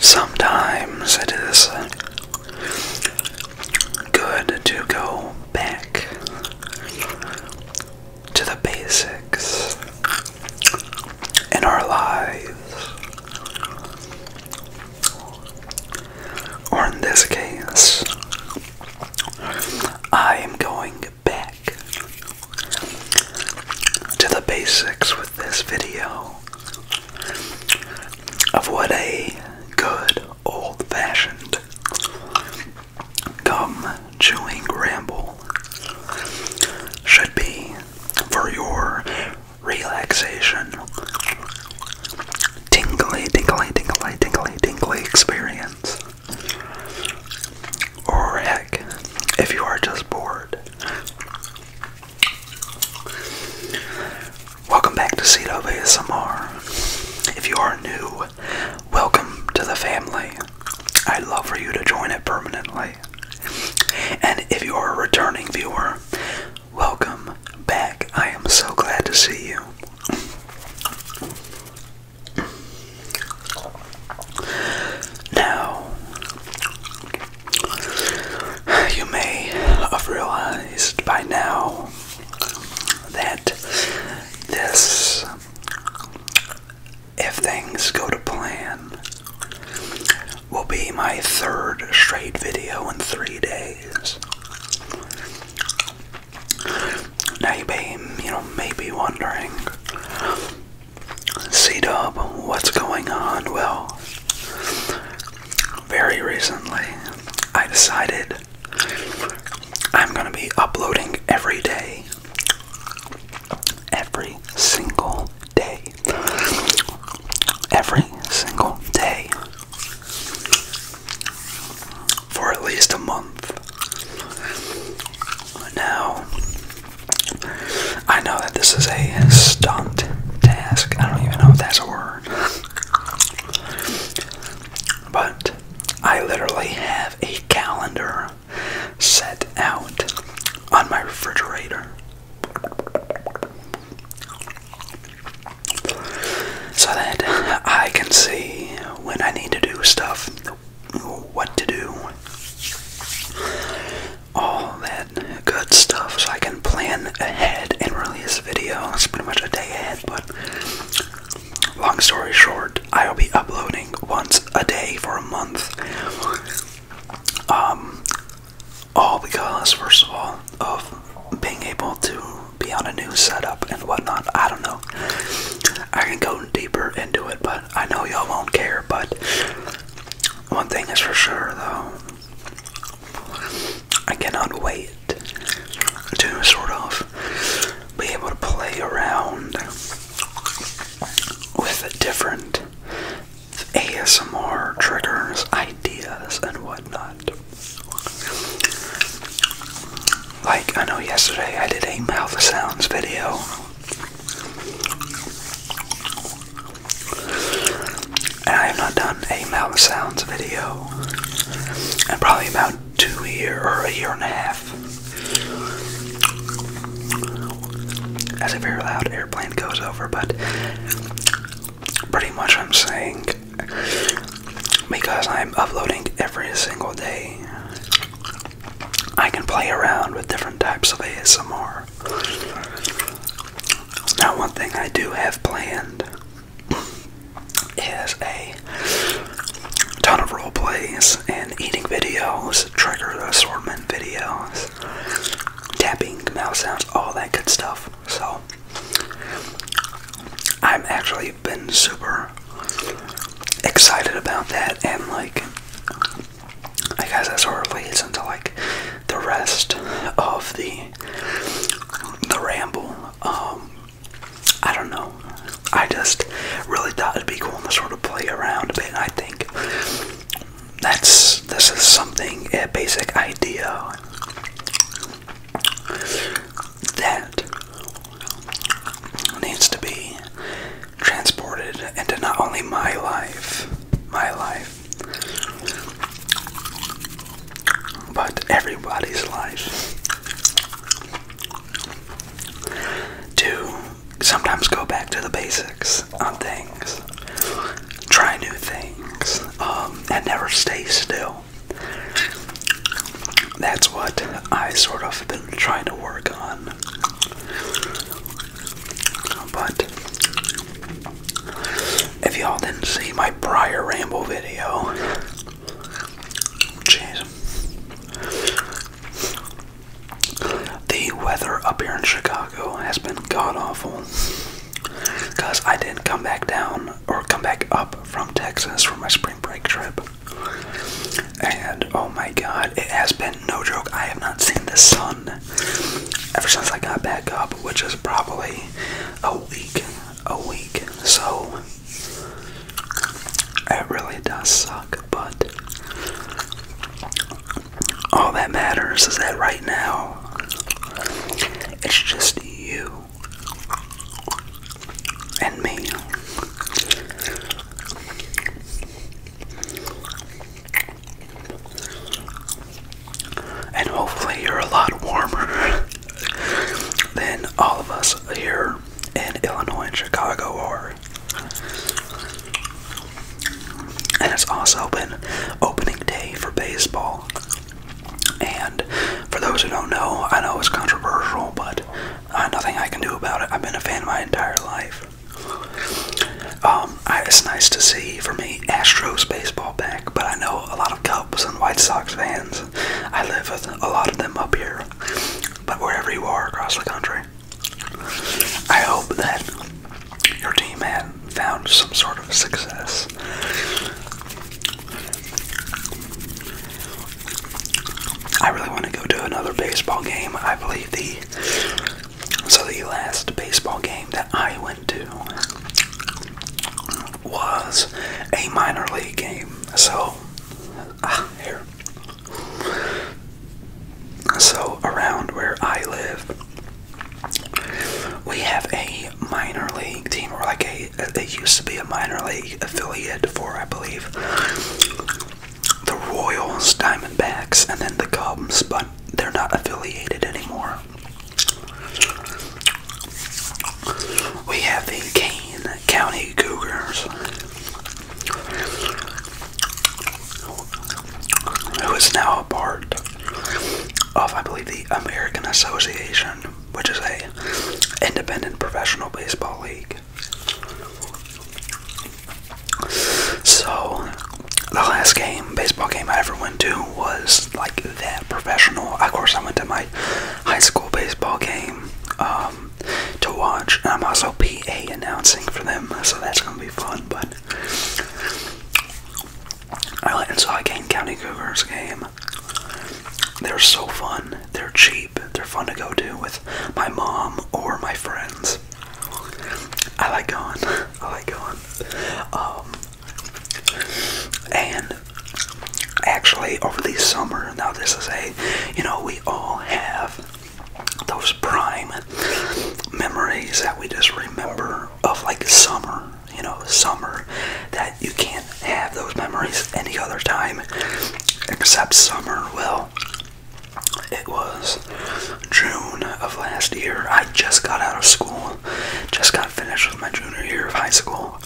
Sometimes it is good to go back to the basics in our lives. Or in this case, I am going back to the basics with this video of what a good old fashioned gum chewing ramble should be for your relaxation, tingly, tingly, tingly, tingly, tingly experience. Or heck, if you are just bored. Welcome back to Cedo ASMR. If you are new, welcome to the family. I'd love for you to join it permanently. And if you are a returning viewer, Welcome back. I am so glad to see you. Now, you may have realized by now that this, if things go to plan, will be my third straight video in three days. Now you may, you know, may be wondering, C-Dub, what's going on? Well, very recently, I decided I'm gonna be uploading every day, every single day, every single day for at least a month. Now, I know that this is a stunt task. I don't even know if that's a word. But I literally have a calendar set out on my refrigerator so that I can see when I need to do stuff, what to do, all that good stuff, so I can plan ahead and release videos pretty much a day ahead. But long story short, I'll be uploading once a day for a month. Um, all because, first of all, of being able to be on a new setup and whatnot. I don't know. I can go deeper into it, but I know y'all won't care. But one thing is for sure, though, I cannot wait to sort of be able to play around with a different ASMR triggers, ideas, and whatnot. Like, I know yesterday I did a mouth sounds video. And I have not done a mouth sounds video in probably about two years or a year and a half. That's a very loud airplane goes over, but pretty much I'm saying because I'm uploading every single day, I can play around with different types of ASMR. Now, one thing I do have planned is a ton of role plays and eating videos, trigger assortment videos, tapping, mouse sounds, all that good stuff. So I've actually been super excited about that and like I guess that sort of leads into like the rest of the the ramble. Um, I don't know. I just really thought it'd be cool to sort of play around a bit and I think that's this is something a basic idea that needs to be transported into not only my life, my life, but everybody's life. To sometimes go back to the basics on things try new things, um, and never stay still. That's what I sort of been trying to work on. But if y'all didn't see my prior ramble video, jeez. The weather up here in Chicago has been god awful. Because I didn't come back down or come back up from Texas for my spring break trip. And oh my god, it has been no joke. I have not seen the sun ever since I got back up, which is probably a week. A week. So it really does suck, but all that matters is that right now it's just you and me. And hopefully, you're a lot warmer than all of us here in Illinois and Chicago are. And it's also been opening day for baseball. And for those who don't know, I know it's controversial, but uh, nothing I can do about it. I've been a fan my entire life. Um, it's nice to see, for me, Astros baseball back, but I know a lot of Cubs and White Sox fans. I live with a lot of them up here, but wherever you are across the country, I hope that your team had found some sort of success. I really want to go to another baseball game. I believe the so the last baseball game that I went to was a minor league game. So ah, here so, around where I live, we have a minor league team, or like a, it used to be a minor league affiliate for, I believe, the Royals, Diamondbacks, and then the Cubs, but they're not affiliated anymore. We have the Kane County Cougars who is now a part of, I believe, the American Association, which is a independent professional baseball league. So, the last game, baseball game I ever went to was like that professional. Of course, I went to my high school baseball game um, to watch, and I'm also PA announcing for them, so that's gonna be fun. But I Alright, and so I game County Cougars game. They're so fun. They're cheap. They're fun to go do with my mom or my friends. I like going. I like going. Um, and actually, over the summer, now this is a, you know, we all have those prime memories that we just remember of like summer, you know, summer that you can't have those memories any other time except summer. Well, it was June of last year. I just got out of school, just got finished with my junior year of high school,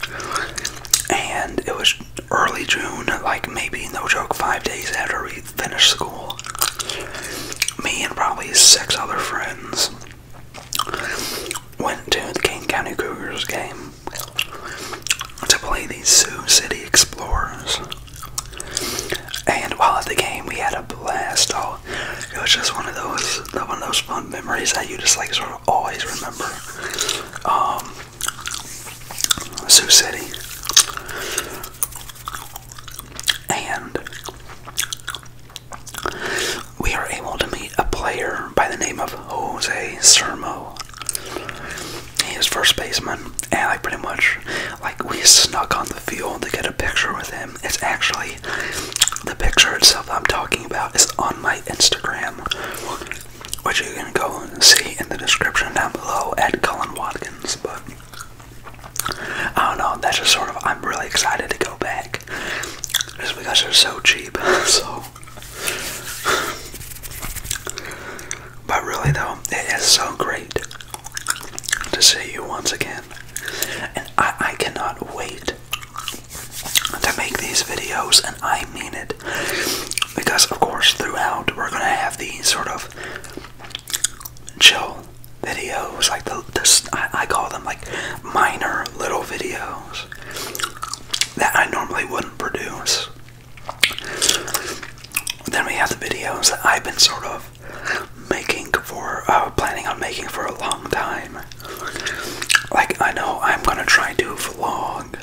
and it was early June, like maybe no joke, five days after we finished school. Me and probably six other friends went to the Kane County Cougars game to play these Sioux City Explorers. And while at the game, we had a blast. Oh, it was just one of those, one of those fun memories that you just like sort of always remember. Um, Sioux City. And we are able to meet a player by the name of Jose Sermo. He is first baseman, and like pretty much, like we snuck on the field to get a picture with him. It's actually the picture itself I'm talking about is on my Instagram, which you can go and see in the description down below at Cullen Watkins. But I don't know. That's just sort of. I'm really excited to go back, just because they're so cheap. so, but really though, it is so great to see you once again, and I, I cannot wait to make these videos. And I mean it, because of course throughout we're gonna have these sort of chill videos, like the, this I, call them like minor little videos that I normally wouldn't produce. Then we have the videos that I've been sort of making for, uh, planning on making for a long time. Like I know I'm gonna try to vlog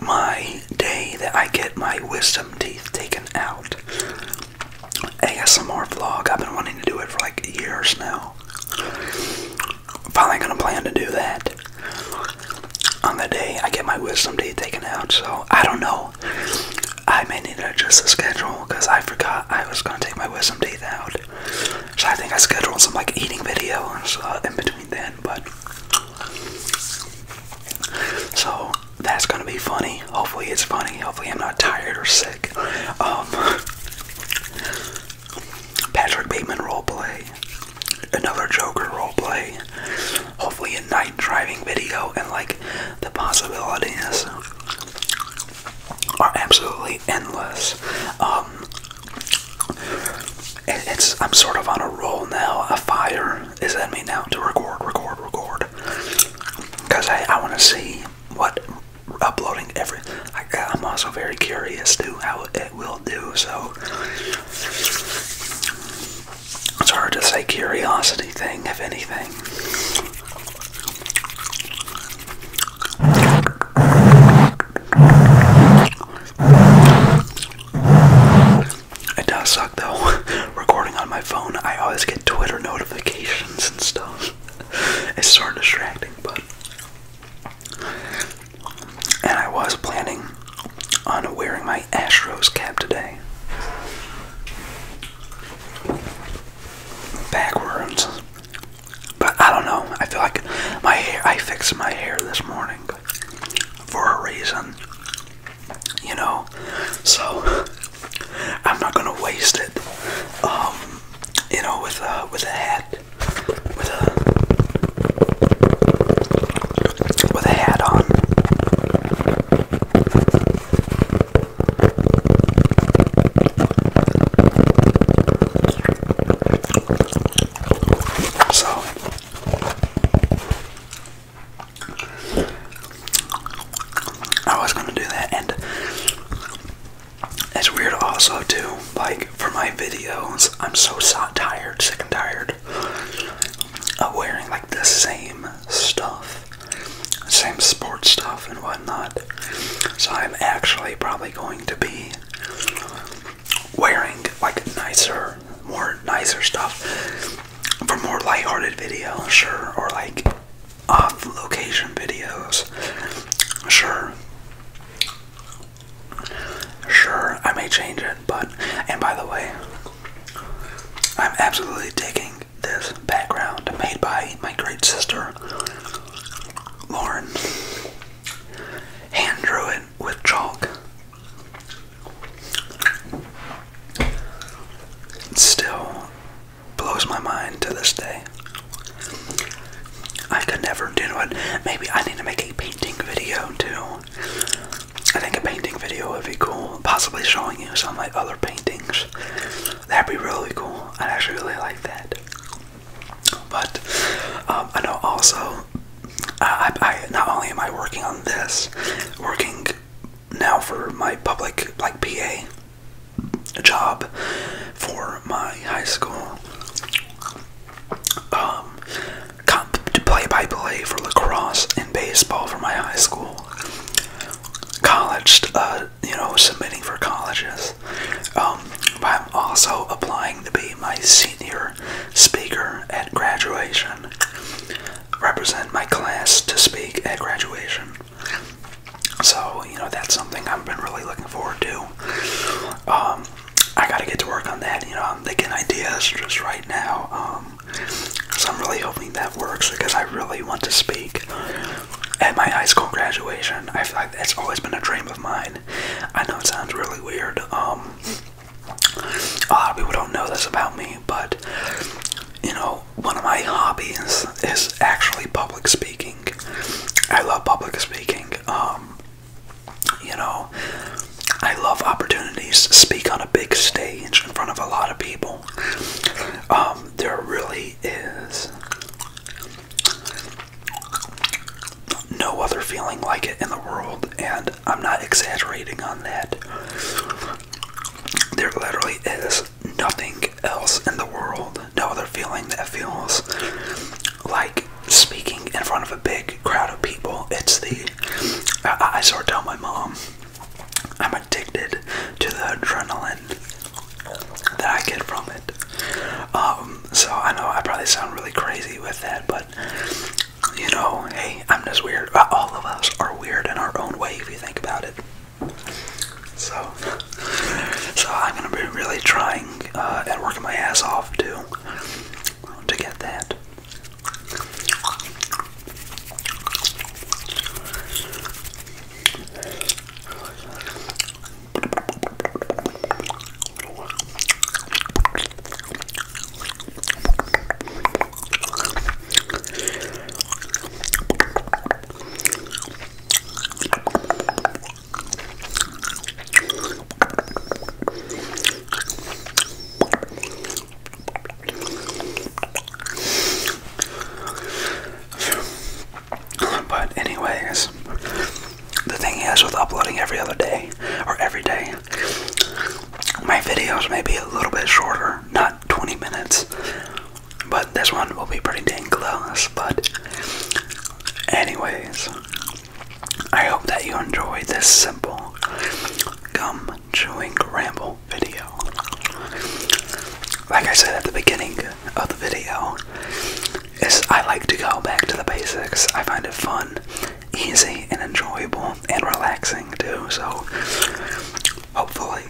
my day that I get my wisdom teeth taken out. ASMR vlog. I've been wanting to do it for like years now. Finally, gonna plan to do that on the day I get my wisdom teeth taken out. So I don't know. I may need to adjust the schedule because I forgot I was gonna take my wisdom teeth out. So I think I scheduled some like eating videos in between then. But so that's gonna be funny. Hopefully it's funny. Hopefully I'm not tired or sick. Um, Patrick Bateman role play, Another Joker role play. Hopefully a night driving video and like the possibilities are absolutely endless. Um, it's I'm sort of on a roll now. A fire is in me now to record, record, record. Cause I I want to see what uploading every. I, I'm also very curious to how it will do. So it's hard to say curiosity thing if anything. It does suck though. Recording on my phone, I always get Twitter notifications and stuff. It's sort of distracting, but. And I was planning on wearing my ash rose cap today. Backwards. But I don't know. I feel like my hair, I fixed my hair this morning for a reason, you know. So I'm not gonna waste it, um, you know, with a with a hat, with a with a hat on. So I was gonna do that, and it's weird also too. Like for my videos, I'm so tired, sick and tired of wearing like the same stuff, same sports stuff and whatnot. So I'm actually probably going to be wearing like nicer, more nicer stuff for more light-hearted videos, sure, or like off location videos, sure. Sure, I may change it, but and by the way, I'm absolutely digging this background made by my great sister Lauren. Hand drew it with chalk it still blows my mind to this day. I could never do it. Maybe I need to make a painting video too. I think a painting video would be cool. Possibly showing you some of my other paintings. That'd be really cool. I'd actually really like that. But um, I know also uh, I, I not only am I working on this, working now for my public like PA job for my high school. Um, to play by play for lacrosse and baseball for my high school. College, uh, you know, submitting for colleges. Um, but I'm also applying to be my senior speaker at graduation. Represent my class to speak at graduation. So, you know, that's something I've been really looking forward to. Um, I gotta get to work on that. You know, I'm thinking ideas just right now. Um, so I'm really hoping that works because I really want to speak at my high school graduation. I feel like that's always been a dream of mine. I know it sounds really weird. Um, a lot of people don't know this about me, but you know, one of my hobbies is actually public speaking. I love public speaking. Um, you know, I love opportunities to speak on a big stage in front of a lot of people. Um, there really is no other feeling like it in the world, and I'm not exaggerating on that. There literally is nothing else in the world, no other feeling that feels like speaking in front of a big crowd of people. It's the. I, sort of tell my mom I'm addicted to the adrenaline that I get from it. Um, so I know I probably sound really crazy with that, but you know, hey, I'm just weird. Uh, all of us are weird in our own way if you think about it. So, so I'm gonna be really trying uh, and working my ass off to to get that. But anyways, the thing is with uploading every other day or every day my videos may be a little bit shorter not 20 minutes but this one will be pretty dang close but anyways i hope that you enjoyed this simple gum chewing ramble video like i said at the beginning of the video is I like to go back to the basics. I find it fun, easy, and enjoyable, and relaxing too. So, hopefully,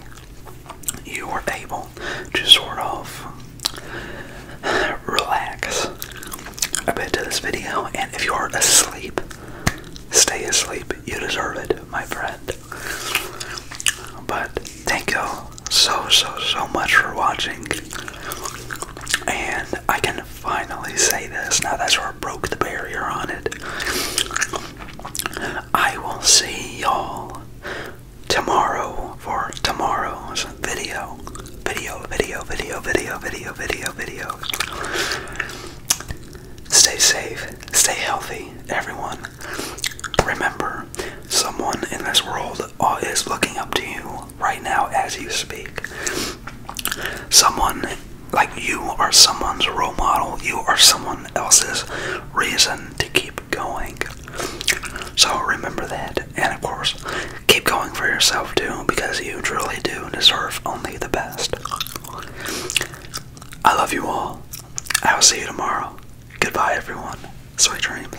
you were able to sort of relax a bit to this video. And if you're asleep, stay asleep. You deserve it, my friend. But thank you so, so, so much for watching. And I can finally say this now that's where I broke the barrier on it. I will see y'all tomorrow for tomorrow's video. Video, video, video, video, video, video, video. Stay safe, stay healthy, everyone. Remember, someone in this world is looking up to you right now, as you speak. Someone like you are someone's role model, you are someone else's reason to keep going. So remember that, and of course, keep going for yourself too, because you truly do deserve only the best. I love you all. I will see you tomorrow. Goodbye, everyone. Sweet dreams.